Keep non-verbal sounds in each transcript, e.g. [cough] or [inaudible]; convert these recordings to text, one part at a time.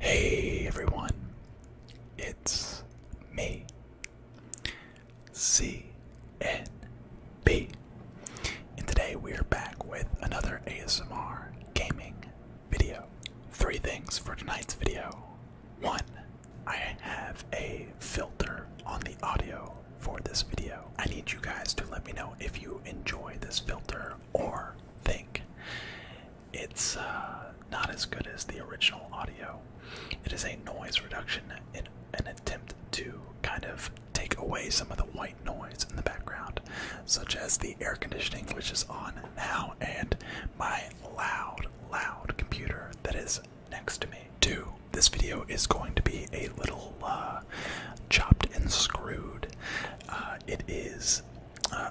Hey everyone, it's me, CNB, and today we're back with another ASMR gaming video. Three things for tonight's video. One, I have a filter on the audio for this video. I need you guys to let me know if you enjoy this filter or think it's uh, not as good as the original audio. It is a noise reduction in an attempt to kind of take away some of the white noise in the background, such as the air conditioning, which is on now, and my loud, loud computer that is next to me. Two, this video is going to be a little uh, chopped and screwed. Uh, it is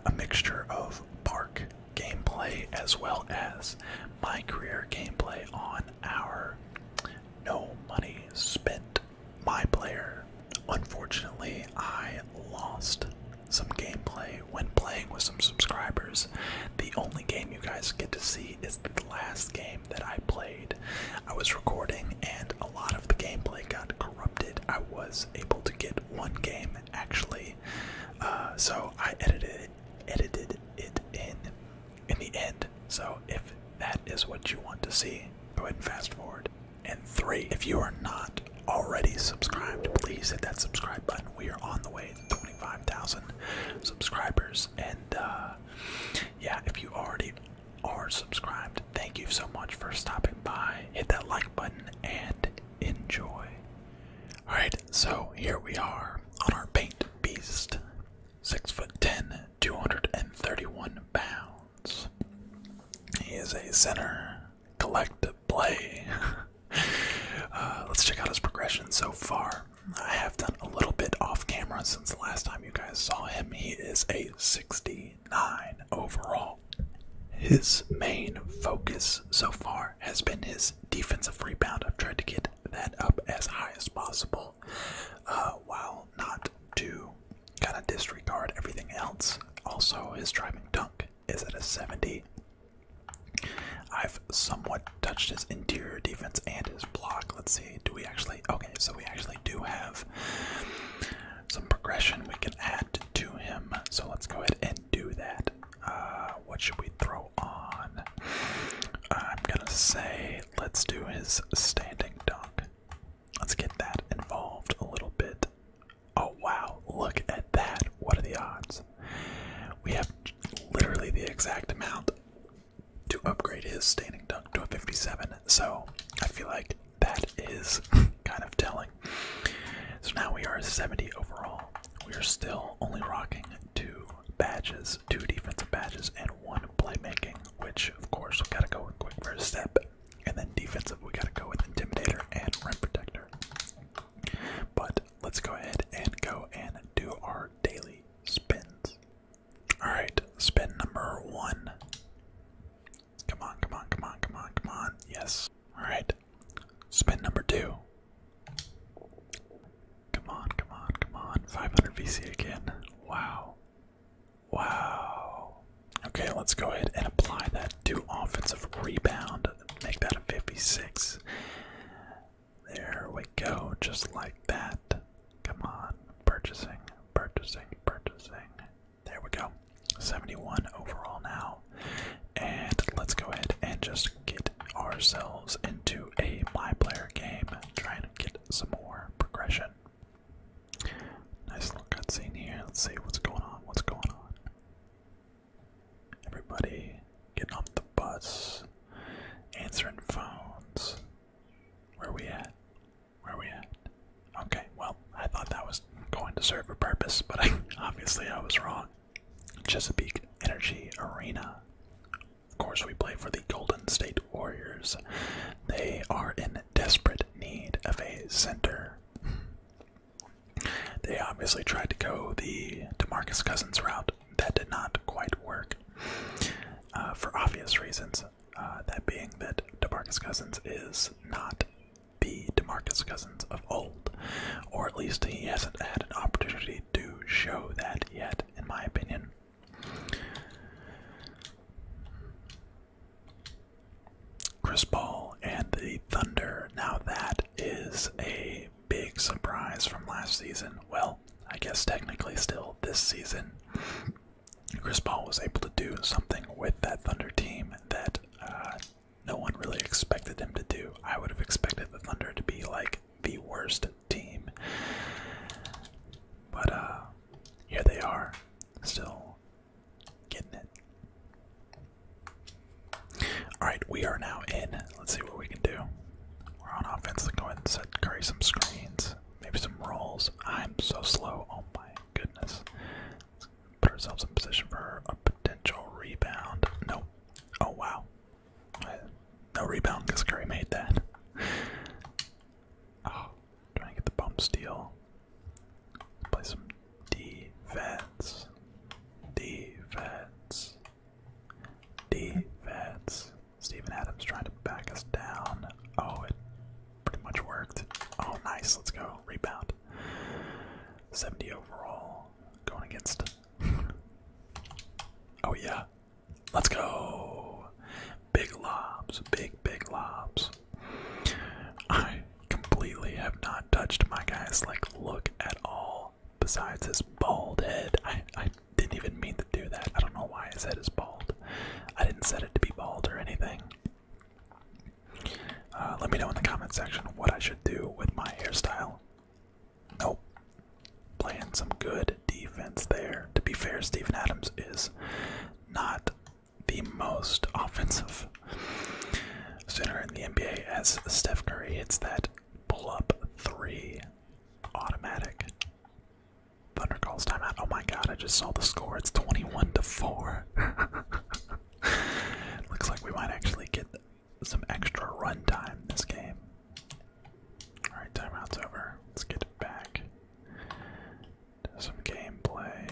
a mixture of park gameplay as well as my career gameplay on our no money spent my player. Unfortunately, I lost some gameplay when playing with some subscribers. The only game you guys get to see is the last game that I played. I was recording and a lot of the gameplay got corrupted. I was was able to get one game actually. Uh, so I edited it, edited it in in the end. So if that is what you want to see, go ahead and fast forward. And three, if you are not already subscribed, please hit that subscribe button. We are on the way to 25,000 subscribers. And uh, yeah, if you already are subscribed, thank you so much for stopping by. Hit that like button and enjoy. Alright, so here we are on our paint beast. Six foot ten, 231 pounds. He is a center. Collective play. [laughs] uh, let's check out his progression so far. I have done a little bit off camera since the last time you guys saw him. He is a 60 29 overall. His main focus so far has been his defensive rebound. I've tried to get that up as high as possible uh, while not to kind of disregard everything else. Also, his driving dunk is at a 70. I've somewhat touched his interior defense and his block. Let's see, do we actually? Okay, so we actually do have some progression we can add to him. So let's go ahead and do that. Uh, what should we throw on? I'm gonna say let's do his standing duck. Let's get that involved a little bit. Oh wow, look at that. What are the odds? We have literally the exact amount to upgrade his standing duck to a 57. So I feel like that is [laughs] kind of telling. So now we are 70 overall. We are still only rocking two badges, two defensive badges, and one playmaking, which of course we gotta go with quick first step. And then defensive, we gotta go with intimidator and rim protector. But let's go ahead and go and do our daily spins. Alright, spin number one. Come on, come on, come on, come on, come on. Yes. Alright. Spin number two. Come on, come on, come on. 500 VC again. Wow. Wow. Okay, let's go ahead and apply that to offensive rebound. Make that a 56. There we go, just like that. Come on, purchasing, purchasing, purchasing. There we go. 71 overall now. And let's go ahead and just get ourselves into a my player game. trying to get some more progression. Nice little cutscene here. Let's see what's going on. What's going on? Everybody getting off the bus, answering phones. Where we at? Where we at? Okay, well, I thought that was going to serve a purpose, but I, [laughs] obviously I was wrong. Chesapeake Energy Arena. Of course, we play for the Golden State Warriors. They are in desperate need of a center. They obviously tried to go the DeMarcus Cousins route. That did not quite work uh, for obvious reasons. Uh, that being that DeMarcus Cousins is not be DeMarcus Cousins of old, or at least he hasn't had an opportunity to show that yet, in my opinion. Chris Paul and the Thunder. Now, that is a big surprise from last season. Well, I guess technically still this season. Chris Paul was able to do something with that Thunder team that uh, no one really expected him to do. I would have expected the Thunder to be like the worst team. But uh here they are, still getting it. Alright, we are now in. Let's see what we can do. We're on offense. Let's go ahead and set Curry some screens. Maybe some rolls. I'm so slow. Oh my goodness. Put ourselves in position for a potential rebound. No. Oh, wow. No rebound because Curry made that. Oh, trying to get the bump steal. Play some defense. Defense. Defense. Steven Adams trying to back us down. Oh, it pretty much worked. Oh, nice. Let's go. Rebound. 70 overall going against. [laughs] oh, yeah. Let's go. Big lobs. Big, big lobs. I completely have not touched my guy's like look at all besides his bald head. I, I didn't even mean to do that. I don't know why his head is bald. I didn't set it to be bald or anything. Uh, let me know in the comment section what I should do with my hairstyle. Nope. Playing some good defense there. To be fair, Stephen Adams is not the most [laughs] offensive center in the NBA as Steph Curry hits that pull up three automatic. Thunder calls timeout. Oh my god, I just saw the score. It's 21 to 4. [laughs] [laughs] Looks like we might actually get some extra runtime this game. Alright, timeout's over. Let's get back to some gameplay.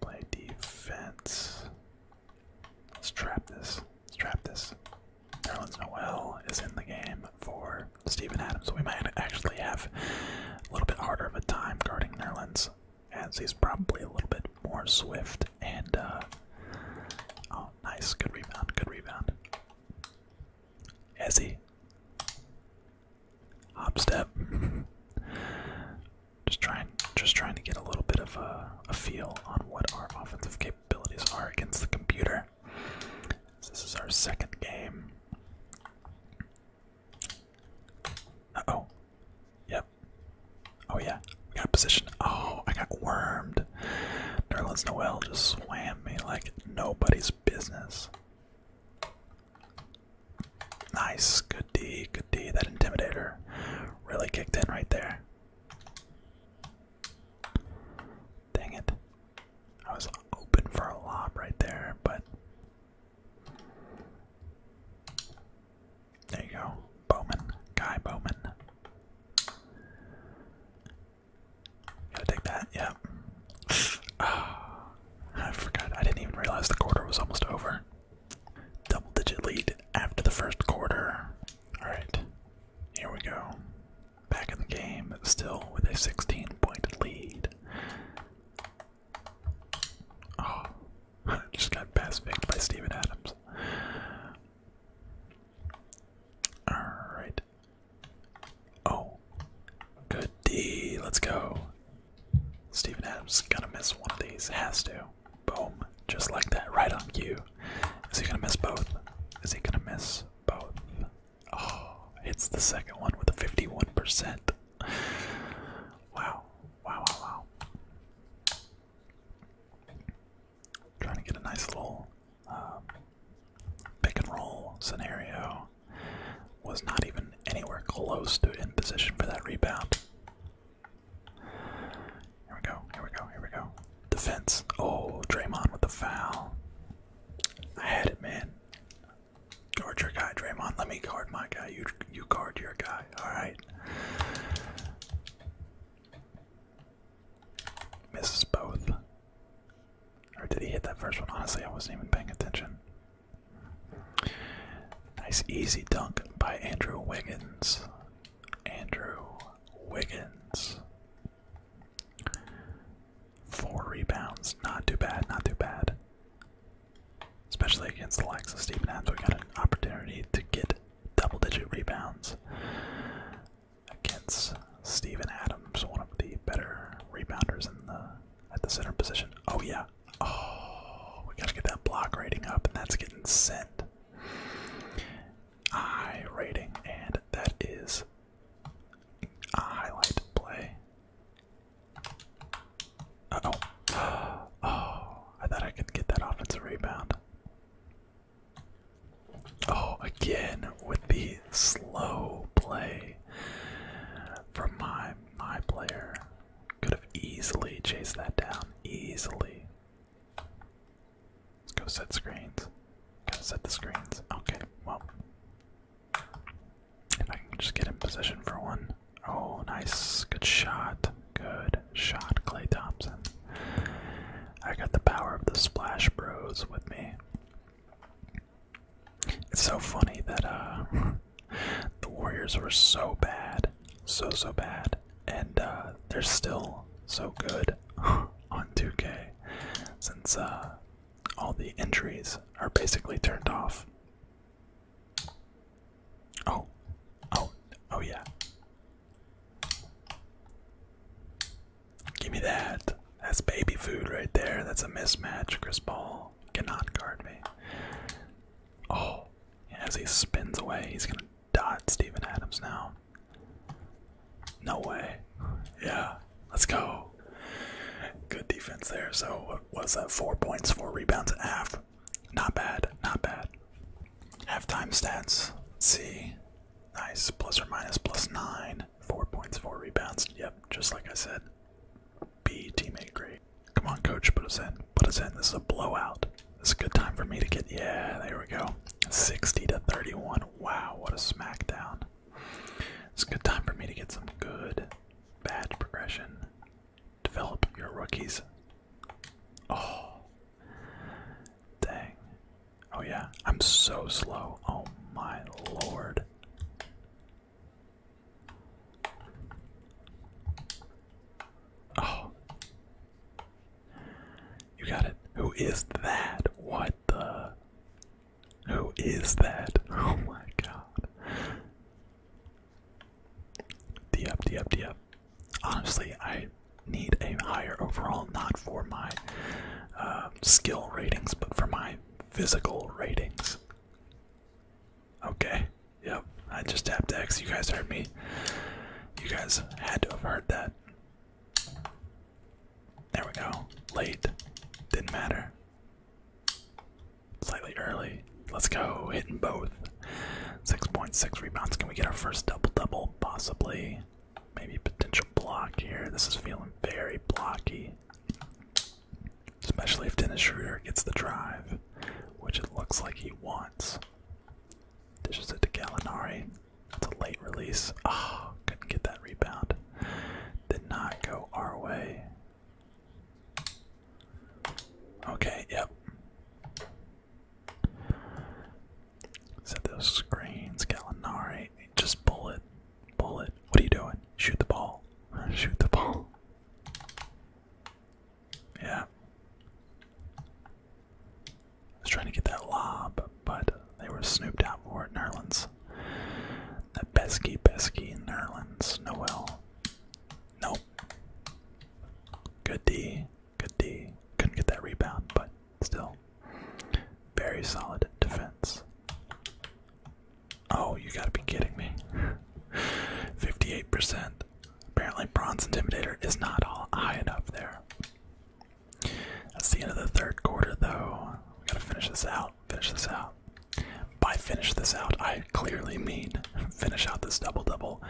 Play defense. Let's trap this. Let's trap this. Nerlens Noel is in the game for Stephen Adams. So we might actually have a little bit harder of a time guarding Nerlens as he's probably a little bit more swift. And, uh, oh, nice. Good rebound. Good rebound. Ezzy. Hop step. just trying, just trying to get a little bit of a feel on what our offensive capabilities are against the computer. This is our second game. Uh oh. Yep. Oh yeah. We got position. Oh, I got wormed. Nerlens Noel just swam me like nobody's business. Nice. Good D. Good D. That intimidator really kicked in right there. Dang it. I was open for a lob right there, but there you go. Bowman. Guy Bowman. Gotta take that, yep. [sighs] I forgot. I didn't even realize the quarter was almost over. Double digit lead after the first quarter. Alright, here we go. Back in the game, still with a 16 point lead. Oh, [laughs] just got past picked by Steven Adams. Alright. Oh. Good D. Let's go. Steven Adams gonna miss one of these. Has to. Boom. Just like that. Right on cue. Is he gonna miss both? Is he gonna miss both? Oh, hits the second one with a 51% wow. Wow, wow, wow. Trying to get a nice little um, pick and roll scenario. Was not even anywhere close to in position for that rebound. Here we go, here we go, here we go. Defense. Oh, Draymond with the foul. I had it, man. Guard your guy, Draymond. Let me guard my guy. You you guard your guy. All right. Misses both. Or did he hit that first one? Honestly, I wasn't even paying attention. Nice easy dunk by Andrew Wiggins. Andrew Wiggins. Four rebounds. Not too bad, not too bad especially against the likes of Stephen Adams. We got an opportunity to get double-digit rebounds against Stephen Adams, one of the better rebounders in the at the center position. Oh yeah. Oh, we gotta get that block rating up, and that's getting sent. I rating, and that is a highlight play. Uh oh. [gasps] Oh, I thought I could get that offensive rebound. Oh, again with the slow play from my my player. Could have easily chased that down. Easily. Let's go set screens. Gotta set the screens. Okay, well. If I can just get in position for one. Oh, nice. Good shot. Good shot, Clay Thompson. I got the power of the Splash Bros with me. It's so funny that uh, [laughs] the Warriors were so bad, so, so bad, and uh, they're still so good [laughs] on 2K since uh, all the injuries are basically turned off. Oh, oh, oh yeah. Give me that. That's baby food right there. That's a mismatch. Chris Paul cannot guard me. Oh, as he spins away, he's gonna dot Stephen Adams now. No way. Yeah, let's go. Good defense there. So, what was that? Four points, four rebounds, half. Not bad, not bad. Half time stats. Let's see. Nice. Plus or minus plus nine. Four points, four rebounds. Yep, just like I said. B teammate great. Come on, coach, put us in. Put us in. This is a blowout. This is a good time for me to get yeah, there we go. 60 to 31. Wow, what a smackdown. It's a good time for me to get some good bad progression. Develop your rookies. Oh. Dang. Oh, yeah. I'm so slow. Oh, my lord. Oh. You got it. Who is that? What the? Who is that? [laughs] Oh, my God. D up, D up, D up. Honestly, I need a higher overall, not for my uh, skill ratings, but for my physical ratings. Okay, yep, I just tapped X. You guys heard me. You guys had to have heard that. There we go. Late. Didn't matter slightly early. Let's go, hitting both. 6.6 rebounds. Can we get our first double double? Possibly. Maybe potential block here. This is feeling very blocky. Especially if Dennis Schroeder gets the drive, which it looks like he wants. Dishes it to Gallinari. It's a late release. Oh, couldn't get that rebound. Did not go our way. Okay, yep. Set those screens, Gallinari. Just bullet. Bullet. What are you doing? Shoot the ball. [laughs] Shoot the ball. Yeah. I was trying to get that lob, but they were snooped out for it, Nerlens. That pesky, pesky Nerlens. Noel. Nope. Good D. Good D. Couldn't get that rebound, but still. Very solid defense. Oh, you gotta be kidding me. 58%. Apparently, Bronze Intimidator is not all high enough there. That's the end of the third quarter, though. We gotta finish this out. Finish this out. By finish this out, I clearly mean [laughs] finish out this double double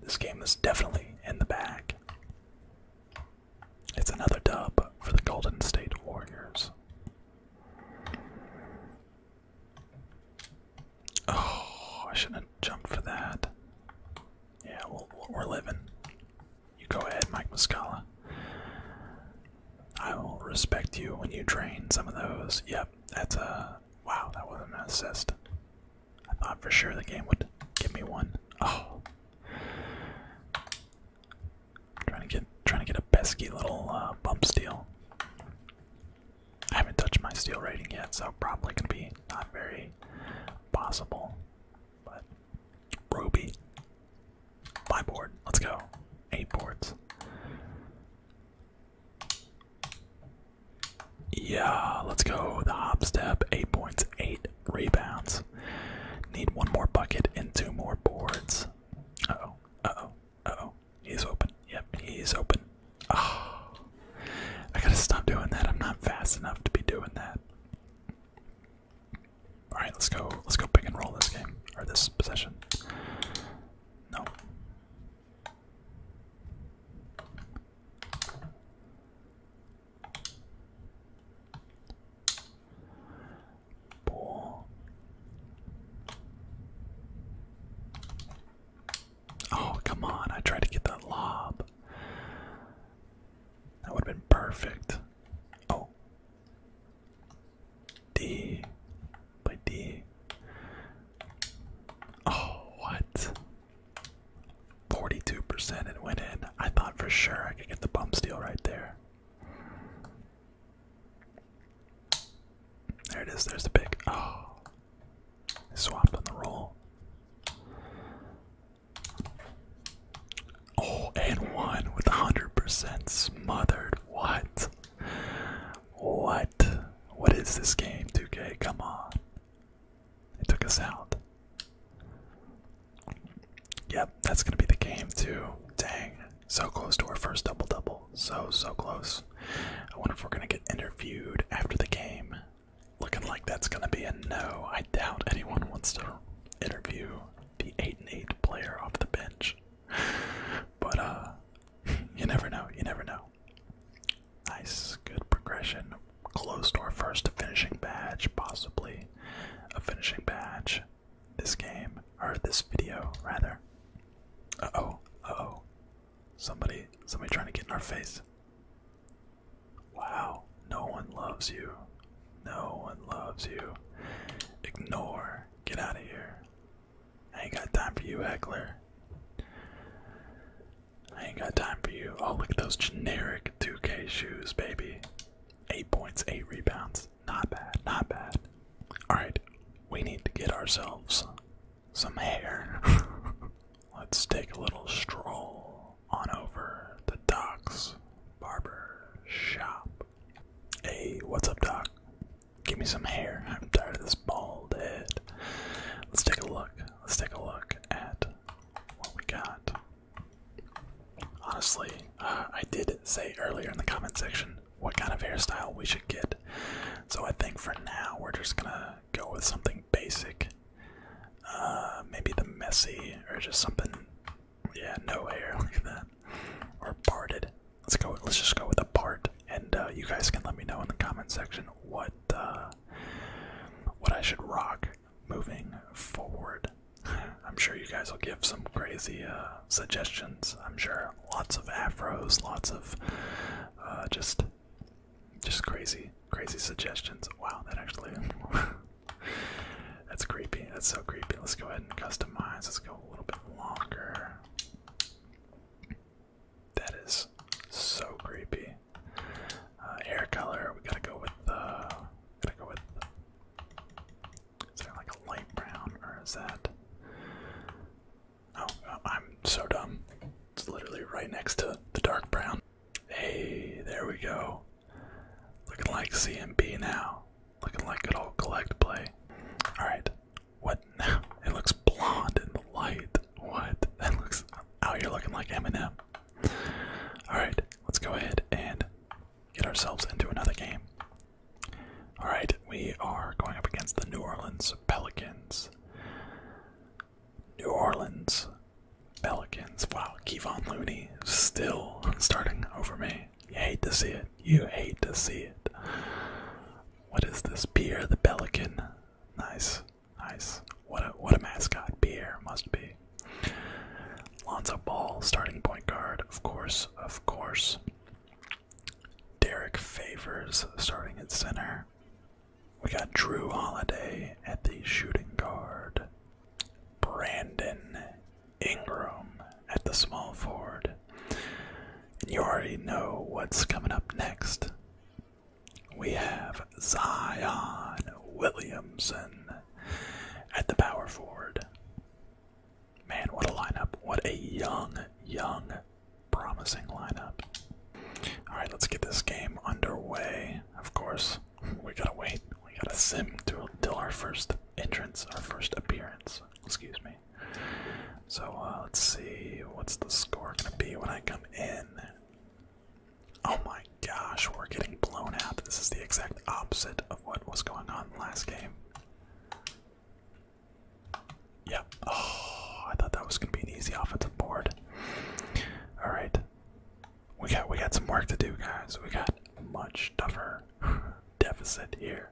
this game is definitely in the bag. It's another dub for the Golden State Warriors. Oh, I shouldn't have jumped for that. Yeah, we're living. You go ahead, Mike Muscala. I will respect you when you train some of those. Yep, that's a. Wow, that was an assist. I thought for sure the game would give me one. Oh, trying to get trying to get a pesky little uh, bump steel. I haven't touched my steel rating yet, so probably gonna be not very possible. But Ruby, my board. Let's go. Eight boards. Yeah, let's go. The hop step, eight points, eight rebounds. Need one more bucket and two more boards. oh, oh, oh. He's open. Yep, he's open. Oh, I gotta stop doing that. I'm not fast enough to be doing that. All right, let's go. Let's go pick and roll this game or this possession. No, Oh, come on. I tried to get that lob. That would have been perfect. Oh. D. By D. Oh, what? 42% it went in. I thought for sure I could get the bump steal right there. There it is. There's the pick. Oh. Swapped on the roll. Oh, and one with 100% smothered. What? What? What is this game, 2K? Come on. It took us out. Yep, that's gonna be the game too. Dang. So close to our first double double. So so close. I wonder if we're gonna get interviewed after the game. Looking like that's gonna be a no. I doubt anyone wants to interview the eight and eight player off the bench. But uh [laughs] you never know, you never know. Nice, good progression. Close to our first finishing badge, possibly a finishing badge this game, or this video, rather. Uh oh, uh oh. Somebody, somebody trying to get in our face. Wow, no one loves you. No one loves you. Ignore. Get out of here. I ain't got time for you, heckler. I ain't got time for you. Oh, look at those generic 2K shoes, baby. Eight points, eight rebounds. Not bad, not bad. Alright, we need to get ourselves some hair. [laughs] Let's take a little stroll on over the Doc's barber shop. Hey, what's up, Doc? Give me some hair. I'm tired of this bald head. Let's take a look. Let's take a look at what we got. Honestly, uh, I did say earlier in the comment section what kind of hairstyle we should get. So I think for now we're just gonna go with something basic. Uh, maybe the messy or just something, yeah, no hair like that, or parted. Let's go. Let's just go with a part and uh, you guys can let me know in the comment section what uh, what I should rock moving forward. [laughs] I'm sure you guys will give some crazy uh, suggestions. I'm sure lots of afros, lots of just just crazy, crazy suggestions. Wow, that actually [laughs] that's creepy. That's so creepy. Let's go ahead and customize. Let's go a little bit longer. That is so creepy. hair uh, color, we gotta go with the. Uh, gotta go with. Is that like a light brown, or is that? Oh, I'm so dumb. It's literally right next to the dark brown. Hey, there we go. Looking like CMB now. Looking like good old collect play. All right, what? [laughs] It looks blonde in the light. What? That looks. Oh, you're looking like Eminem. Alright, let's go ahead and get ourselves into another game. Alright, we are going up against the New Orleans Pelicans. New Orleans Pelicans. Wow, Kevon Looney still [laughs] starting over me. You hate to see it. You hate to see it. What is this? Pierre the Pelican. Nice. Nice. What a what a mascot Pierre must be. Lonzo Ball, starting point guard, of course, of course. Derek Favors starting at center. We got Drew Holiday at the shooting guard. Brandon Ingram at the small forward. And you already know what's coming up next we have Zion Williamson at the power forward. Man, what a lineup. What a young, young, promising lineup. Alright, let's get this game underway. Of course, we gotta wait. We gotta sim till, till our first entrance, our first appearance. Excuse me. So uh, let's see, what's the score gonna be when I come in? Oh my gosh, we're getting blown out. This is the exact opposite of what was going on last game. Yep. Oh, I thought that was gonna be an easy offensive board. All right, we got we got some work to do, guys. We got much tougher [laughs] deficit here.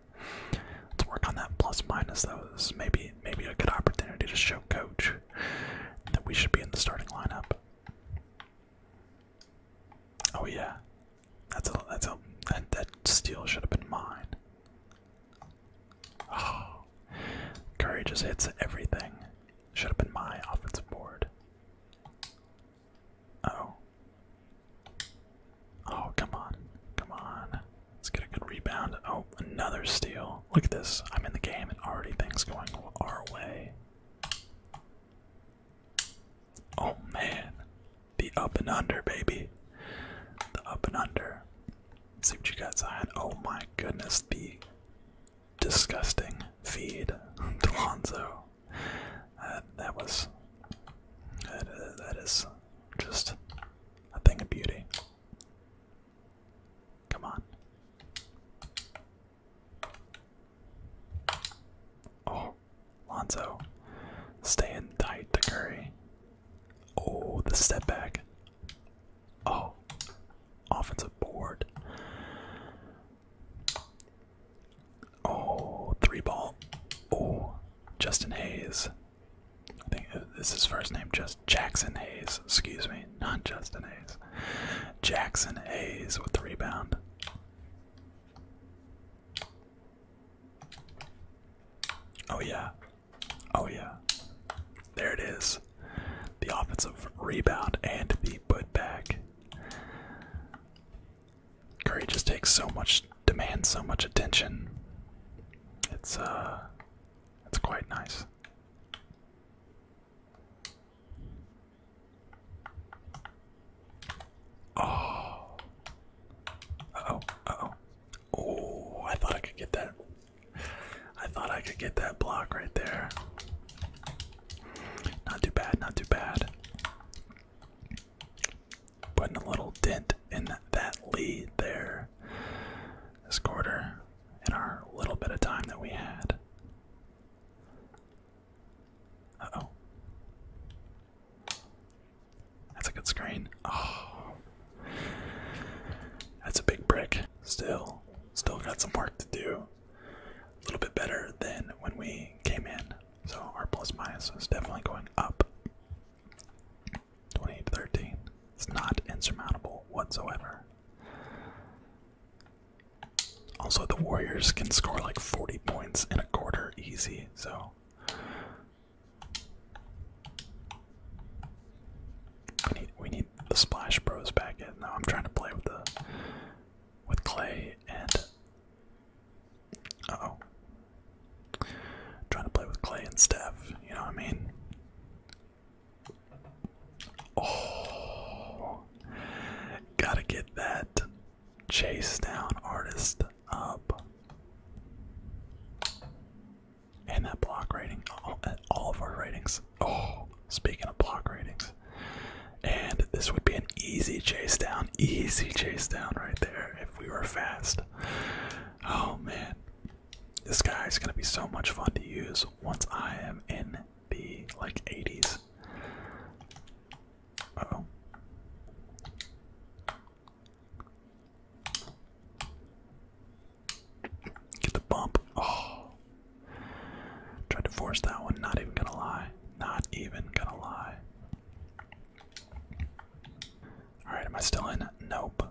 Let's work on that plus minus though. This maybe maybe a good opportunity to show coach that we should be in the starting lineup. Oh yeah, that's a that's a that, that steal should have been mine. Oh, Curry just hits everything. Should have been my offensive board. Oh. Oh, come on. Come on. Let's get a good rebound. Oh, another steal. Look at this. I'm in the game and already things going our way. Oh man. The up and under, baby. The up and under. see what you got, Zion. Oh my goodness, the disgusting feed to [laughs] that was. Uh, that is just a thing of beauty. Come on. Oh, Lonzo. Staying tight to Curry. Oh, the step back. Oh, offensive board. Oh, three ball. Oh, Justin Hayes. I think this is first name just Jackson Hayes, excuse me, not Justin Hayes. Jackson Hayes with the rebound. Oh yeah. Oh yeah. There it is. The offensive rebound and the putback. Curry just takes so much demands so much attention. It's uh it's quite nice. Oh. oh oh Oh, I thought I could get that. I thought I could get that block right there. Not too bad, not too bad. Putting a little dent in that lead there. This quarter in our little bit of time that we had. oh. That's a good screen. Oh. That's a big brick. Still, still got some work to do. A little bit better than when we came in. So our plus minus is definitely going up. 28 It's not insurmountable whatsoever. Also, the Warriors can score like 40 points in a quarter easy, so. We need, we need the Splash Bros back in. Now I'm trying to play with the with Clay and uh oh, trying to play with Clay and Steph. You know what I mean? Oh, gotta get that chase down artist up. And that block rating, all, of our ratings. Oh, speaking of block ratings, and this would be an easy chase down, easy chase down right there if we were fast. Oh man, this guy is gonna be so much fun to use once I am in the like 80s. oh. Get the bump. Oh. Tried to force that one, not even gonna lie. Not even gonna lie. Alright, am I still in? Nope.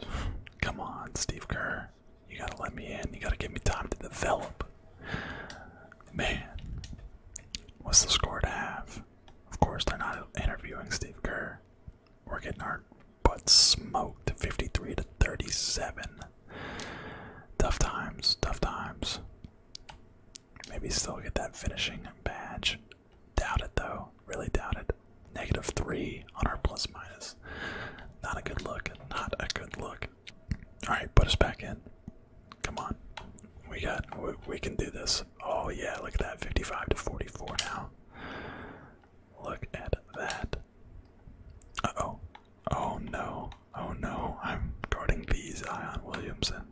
[sighs] Come on, Steve Kerr. You gotta let me in. You gotta give me time to develop. Man, what's the score to have? Of course, they're not interviewing Steve Kerr. We're getting our butts smoked 53 to 37. Tough times, tough times. Maybe still get that finishing badge. Doubt it though. Really doubt it. Negative three on our plus minus. Not a good look. Not a good look. Alright, put us back in. Come on. We got we, can do this. Oh yeah, look at that. 55 to 44 now. Look at that. oh Oh no. Oh no. I'm guarding the Zion Williamson.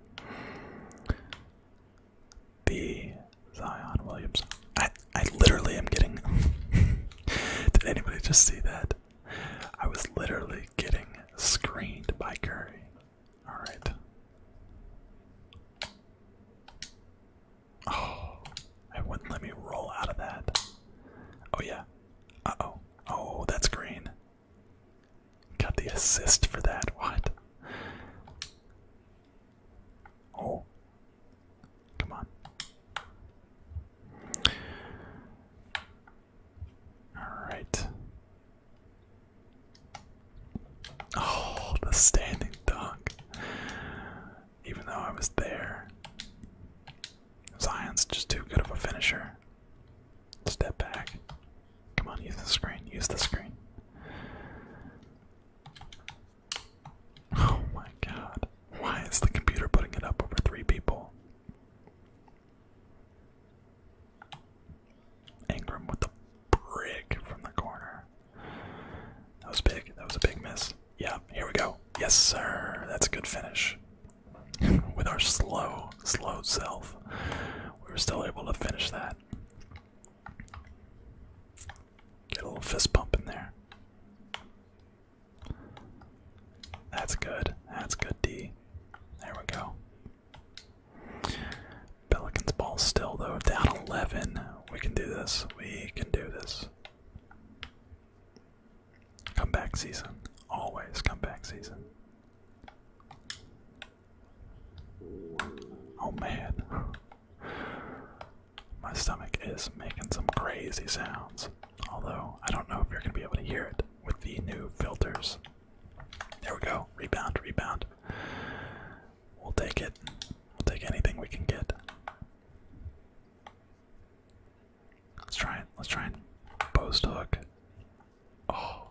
The Zion Williams. I I literally am getting [laughs] Did anybody just see that? I was literally getting screened by Curry. Alright. Oh, I wouldn't let me roll out of that. Oh yeah. Uh-oh. Oh, that's green. Got the assist for that. What? Oh. Come on. Alright. Oh, the standing dunk. Even though I was there. Zion's just too good of a finisher. Step back. Come on, use the screen. Use the screen. [sighs] Oh my god. Why is the computer putting it up over three people? Ingram with the brick from the corner. That was big. That was a big miss. Yeah, here we go. Yes, sir. That's a good finish. [laughs] With our slow, slow self, we were still able to finish that. Get a little fist pump in there. That's good. That's good, D. There we go. Pelicans ball still, though. Down 11. We can do this. We can do this. Comeback season. Always comeback season. Oh man. My stomach is making some crazy sounds, although I don't know if you're going to be able to hear it with the new filters. There we go. Rebound, rebound. We'll take it. We'll take anything we can get. Let's try it. Let's try and post hook. Oh.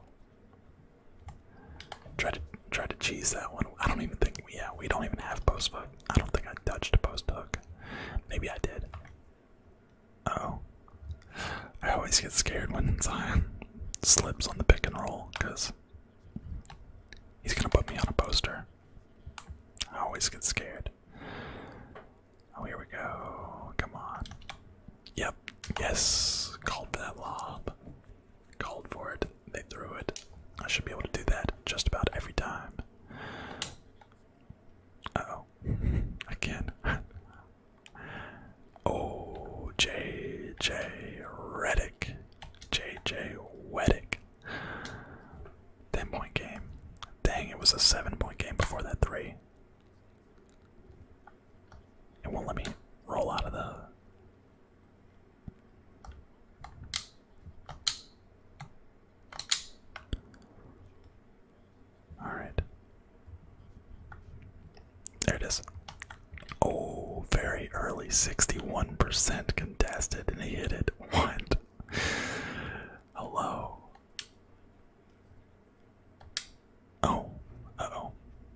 Try to try to cheese that one. I don't even think yeah, we don't even have post hook. I don't think I touched a post hook. Maybe I did. oh. I always get scared when Zion slips on the pick and roll because he's gonna put me on a poster. I always get scared. Oh, here we go. Come on. Yep. Yes. Called for that lob. Called for it. They threw it. I should be able to do that just about every time. [laughs] [laughs] oh. Again. oh, Redick, J J Redick. 10 point game. Dang, it was a 7 point game before that 3. It won't let me roll out of the all right. There it is. Oh, very early. 61% contested, and he hit it. What? Hello. Oh, oh.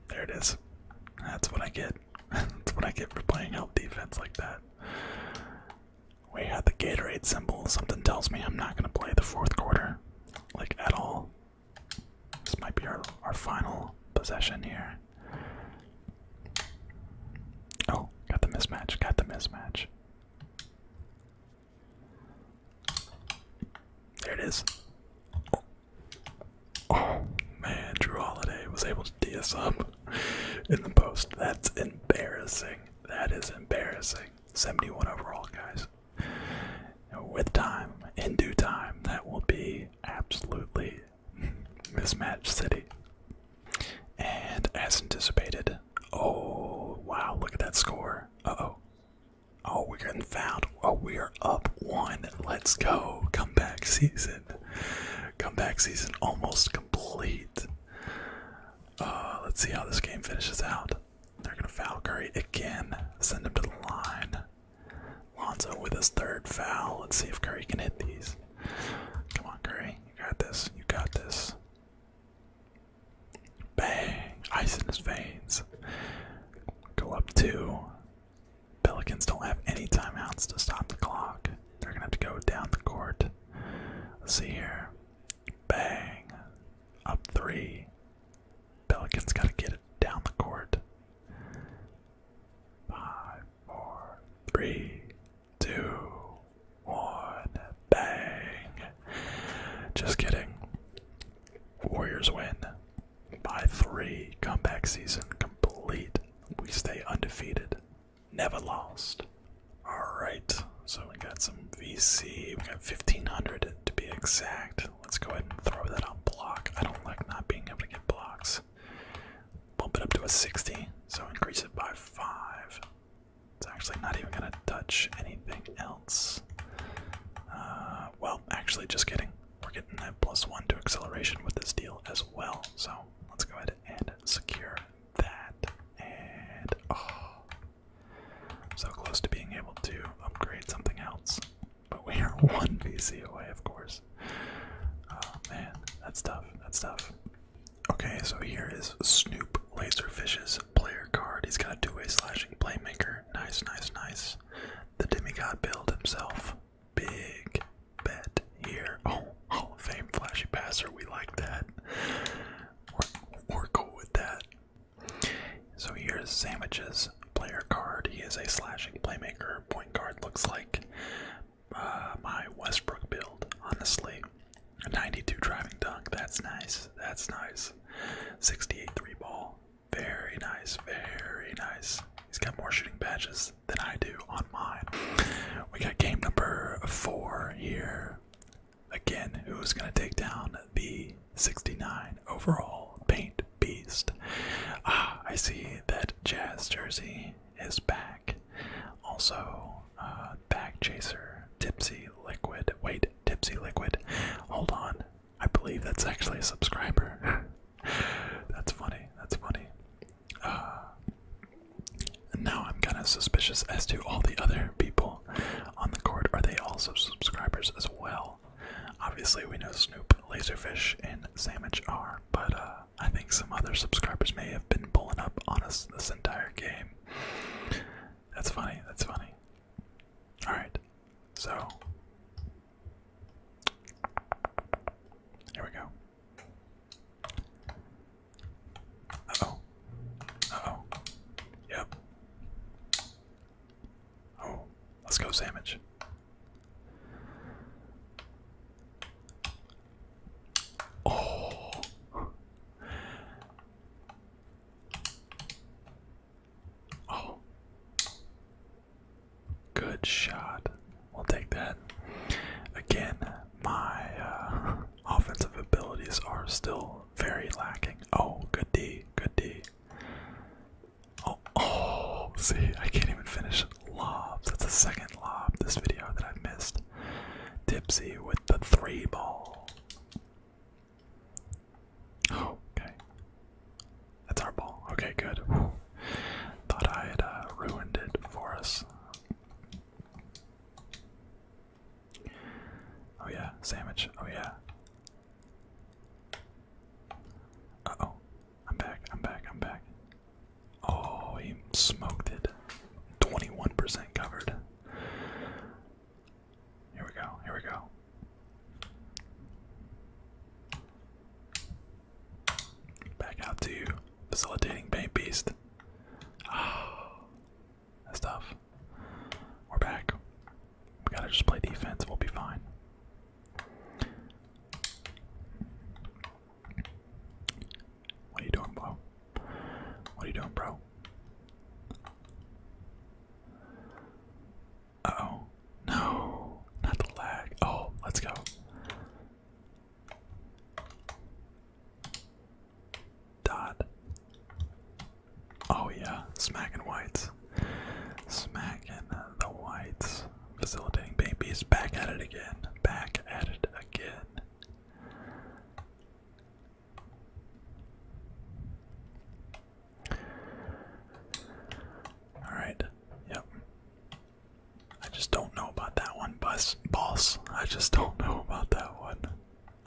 There it is. That's what I get. [laughs] That's what I get for playing help defense like that. We had the Gatorade symbol. Something tells me I'm not going to play the fourth quarter, like at all. This might be our, our final possession here. Oh, got the mismatch, got the mismatch. There it is. Oh, man, Drew Holiday was able to tee us up in the post. That's embarrassing. That is embarrassing. 71 overall, guys. With time, in due time, that will be absolutely mismatched city. And as anticipated, oh wow, look at that score. oh. Oh, we're getting found. Oh, we are up one. Let's go. Comeback season. Comeback season almost uh, let's see how this game finishes out. They're going to foul Curry again, send him to the line. Lonzo with his third foul. Let's see if Curry can hit these. Come on, Curry. You got this. You got this. Bang. Ice in his veins. Go up two. Pelicans don't have any timeouts to stop the clock. They're going to have to go down the court. Let's see here. Bang. Up three. Pelicans gotta get it down the court. Five, four, three, two, one. Bang. Just kidding. Warriors win by three. Comeback season complete. We stay undefeated. Never lost. Alright, so we got some VC. We got 1500 to be exact. Let's go ahead and throw that on block. I don't like not being able to get blocks. Bump it up to a 60, so increase it by 5. It's actually not even going to touch anything else. Uh, well, actually, just kidding. We're getting that plus 1 to acceleration with this deal as well, so let's go ahead and secure that. And oh, so close to being able to upgrade something else. But we are [laughs] one VC away, of course. Oh man, that's tough. That's tough. Okay, so here is Snoop Laserfish's player card. He's got a two-way slashing playmaker. Nice, nice, nice. The demigod build himself. Big, bet here. Oh, Hall of Fame flashy passer. We like that. We're, cool with that. So here's Sandwich's player card. He is a slashing playmaker. Point guard looks like uh, my Westbrook build, honestly. A 92 driving dunk. That's nice. That's nice. 68 three ball. Very nice. Very nice. He's got more shooting badges than I do on mine. We got game number four here. Again, who's going to take down the 69 overall paint beast? Ah, I see that Jazz Jersey is back. Also, uh, Back Chaser, Tipsy Liquid. Wait, Tipsy Liquid. Hold on. I believe that's actually a subscriber. [laughs] that's funny. That's funny and uh, now I'm kind of suspicious as to all the other people on the court. Are they also subscribers as well? Obviously, we know Snoop, Laserfish, and Sandwich are, but uh, I think some other subscribers may have been pulling up on us this entire game. That's funny, that's funny. Alright, so. Here we go oh oh Yep. Oh, let's go sandwich. Oh. Oh. Good shot. We'll take that. Again, my uh, [laughs] offensive abilities are still very lacking. Oh, good D, good D. Oh, oh, see, I can't even finish lob. That's the second lob this video that I've missed. Tipsy with the three ball. Oh, okay. That's our ball. Okay, good. Thought I had uh, ruined it for us. Oh yeah, sandwich. Oh yeah. oh. I'm back. I'm back. I'm back. Oh, he smoked it. 21% covered. Here we go. Here we go. Back out to you, facilitating paint beast. Oh, [sighs] that's tough. We're back. We gotta just play defense. We'll be fine. What are you doing, bro? What are you doing, bro? oh. No. Not the lag. Oh, let's go. Dot. Oh yeah, smacking whites. Smacking uh, the whites. Facilitating babies. Back at it again. Back at it again. Alright. Yep. I just don't know about that one, boss. I just don't know about that one.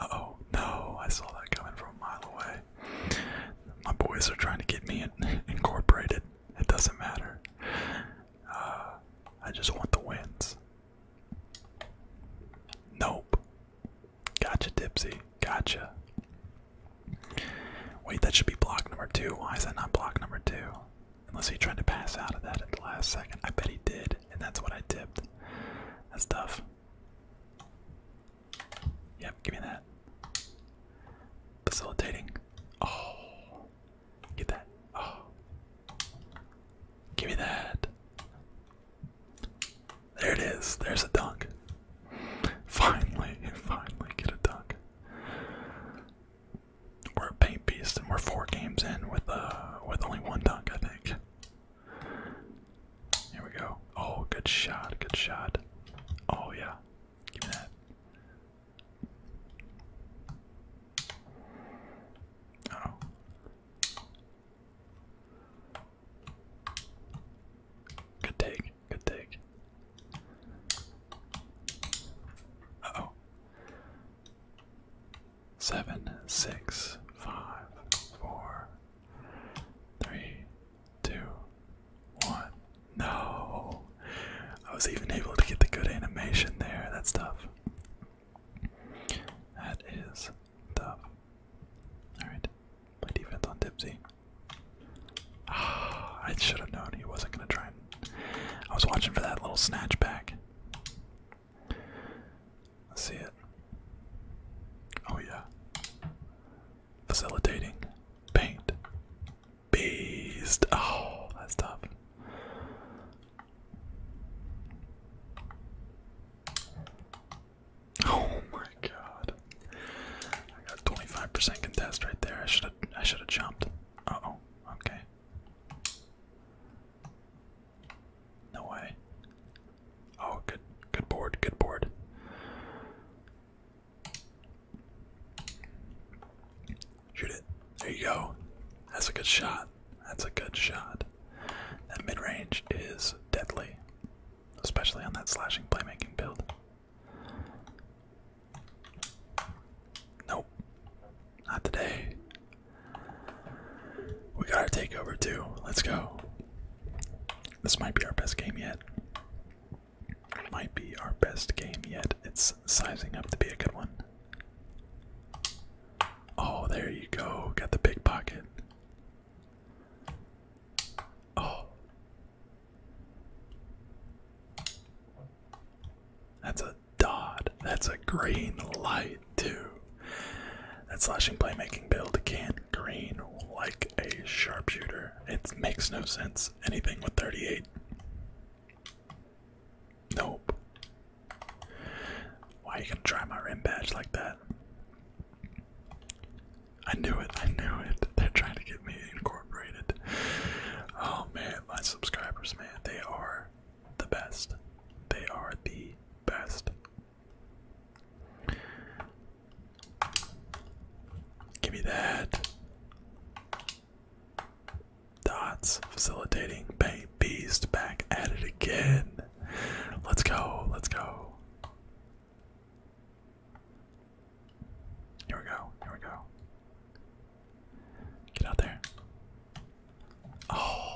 oh, no, I saw that coming from a mile away. My boys are trying to get me [laughs] incorporated. It doesn't matter. Uh, I just want the wins. Nope. Gotcha, Dipsy. Gotcha. Wait, that should be block number two. Why is that not block number two? Unless he tried to pass out of that at the last second. I bet he did, and that's what I tipped. That's tough. Yep, give me that. Facilitating. Oh. Get that. Oh. Give me that. There it is. There's a dunk. Finally, [laughs] finally get a dunk we're a paint beast, and we're four games in with uh with only one dunk, I think. Here we go. Oh, good shot, good shot. Oh yeah, give me that. Oh. Good take, good take. oh seven, six, five, four, three, two, one. No! I was even able to get the good animation there. That's tough. That is tough. Alright. my defense on Dipsy. Ah, I should have known he wasn't gonna try and I was watching for that little snatch back. I see it. Oh yeah. Facilitating. Paint. Beast. Oh, that's tough. Oh my god. I got 25% contest right there. I should have I should have jumped. Uh oh. Okay. No way. Oh, good, good board, good board. Shoot it. There you go. That's a good shot. That's a good shot. That mid range is deadly, especially on that slashing playmaking build. Nope. Not today. We got our takeover too. Let's go. This might be our best game yet. Might be our best game yet. It's sizing up to be a good one. Oh, there you go. Got the pickpocket. Oh. That's a Dodd. That's a green light, too. That slashing playmaking build can't green like a sharpshooter. It makes no sense. Anything with 38. Nope. Why are you gonna try my rim badge like that? I knew it, I knew it. [laughs] They're trying to get me incorporated. Oh man, my subscribers, man, they are the best. They are the best. Give me that. Dots facilitating. Bang back at it again. Let's go. Let's go. Here we go. Here we go. Get out there. Oh.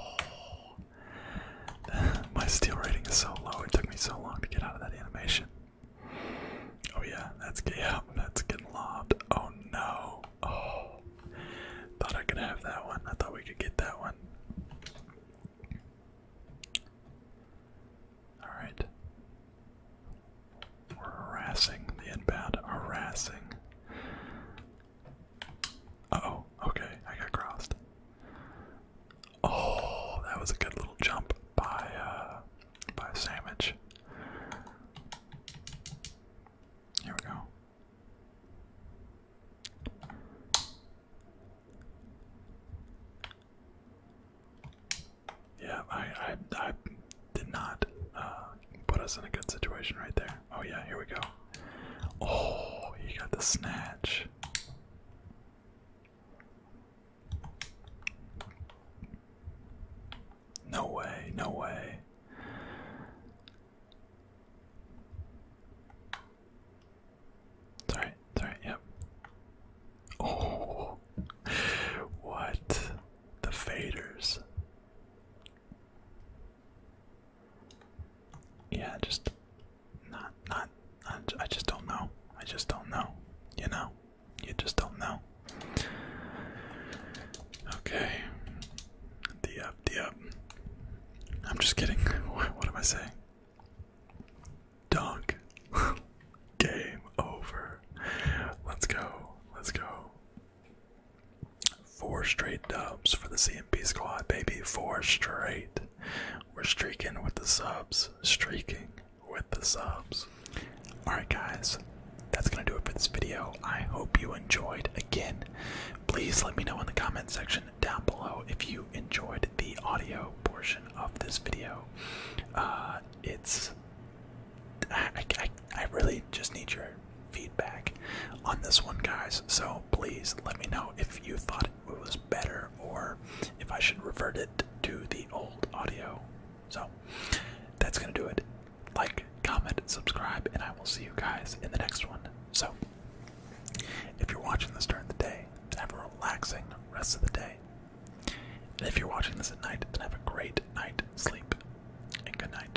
[laughs] My steel rating is so low. It took me so long to get out of that animation. Oh yeah, that's yeah, that's getting lobbed. Oh no. Oh. Thought I could have that one. I thought we could get that one. Alright. We're harassing the inbound. Harassing oh, okay, I got crossed. Oh, that was a good little jump by uh by a sandwich. Here we go. Yeah, I I did not uh Put us in a good situation right there. Oh, yeah, here we go. Oh, he got the snatch. No way, no way. It's alright, yep. Oh, [laughs] what? The faders yeah, just not, not, I just don't know. I just don't know. You know, you just don't know. Okay, D up, D up. I'm just kidding. What, [laughs] what am I saying? Dunk. [laughs] Game over. Let's go. Let's go. Four straight dubs for the CMP squad, baby. Four straight. We're streaking with the subs. Streaking with the subs. Alright, guys. That's gonna do it for this video. I hope you enjoyed. Again, please let me know in the comment section down below if you enjoyed the audio portion of this video. Uh, it's. I, I, I really just need your feedback on this one, guys. So please let me know if you thought it was better or if I should revert it to the old audio. So that's going to do it. Like, comment, subscribe, and I will see you guys in the next one. So if you're watching this during the day, have a relaxing rest of the day. And if you're watching this at night, then have a great night sleep and good night.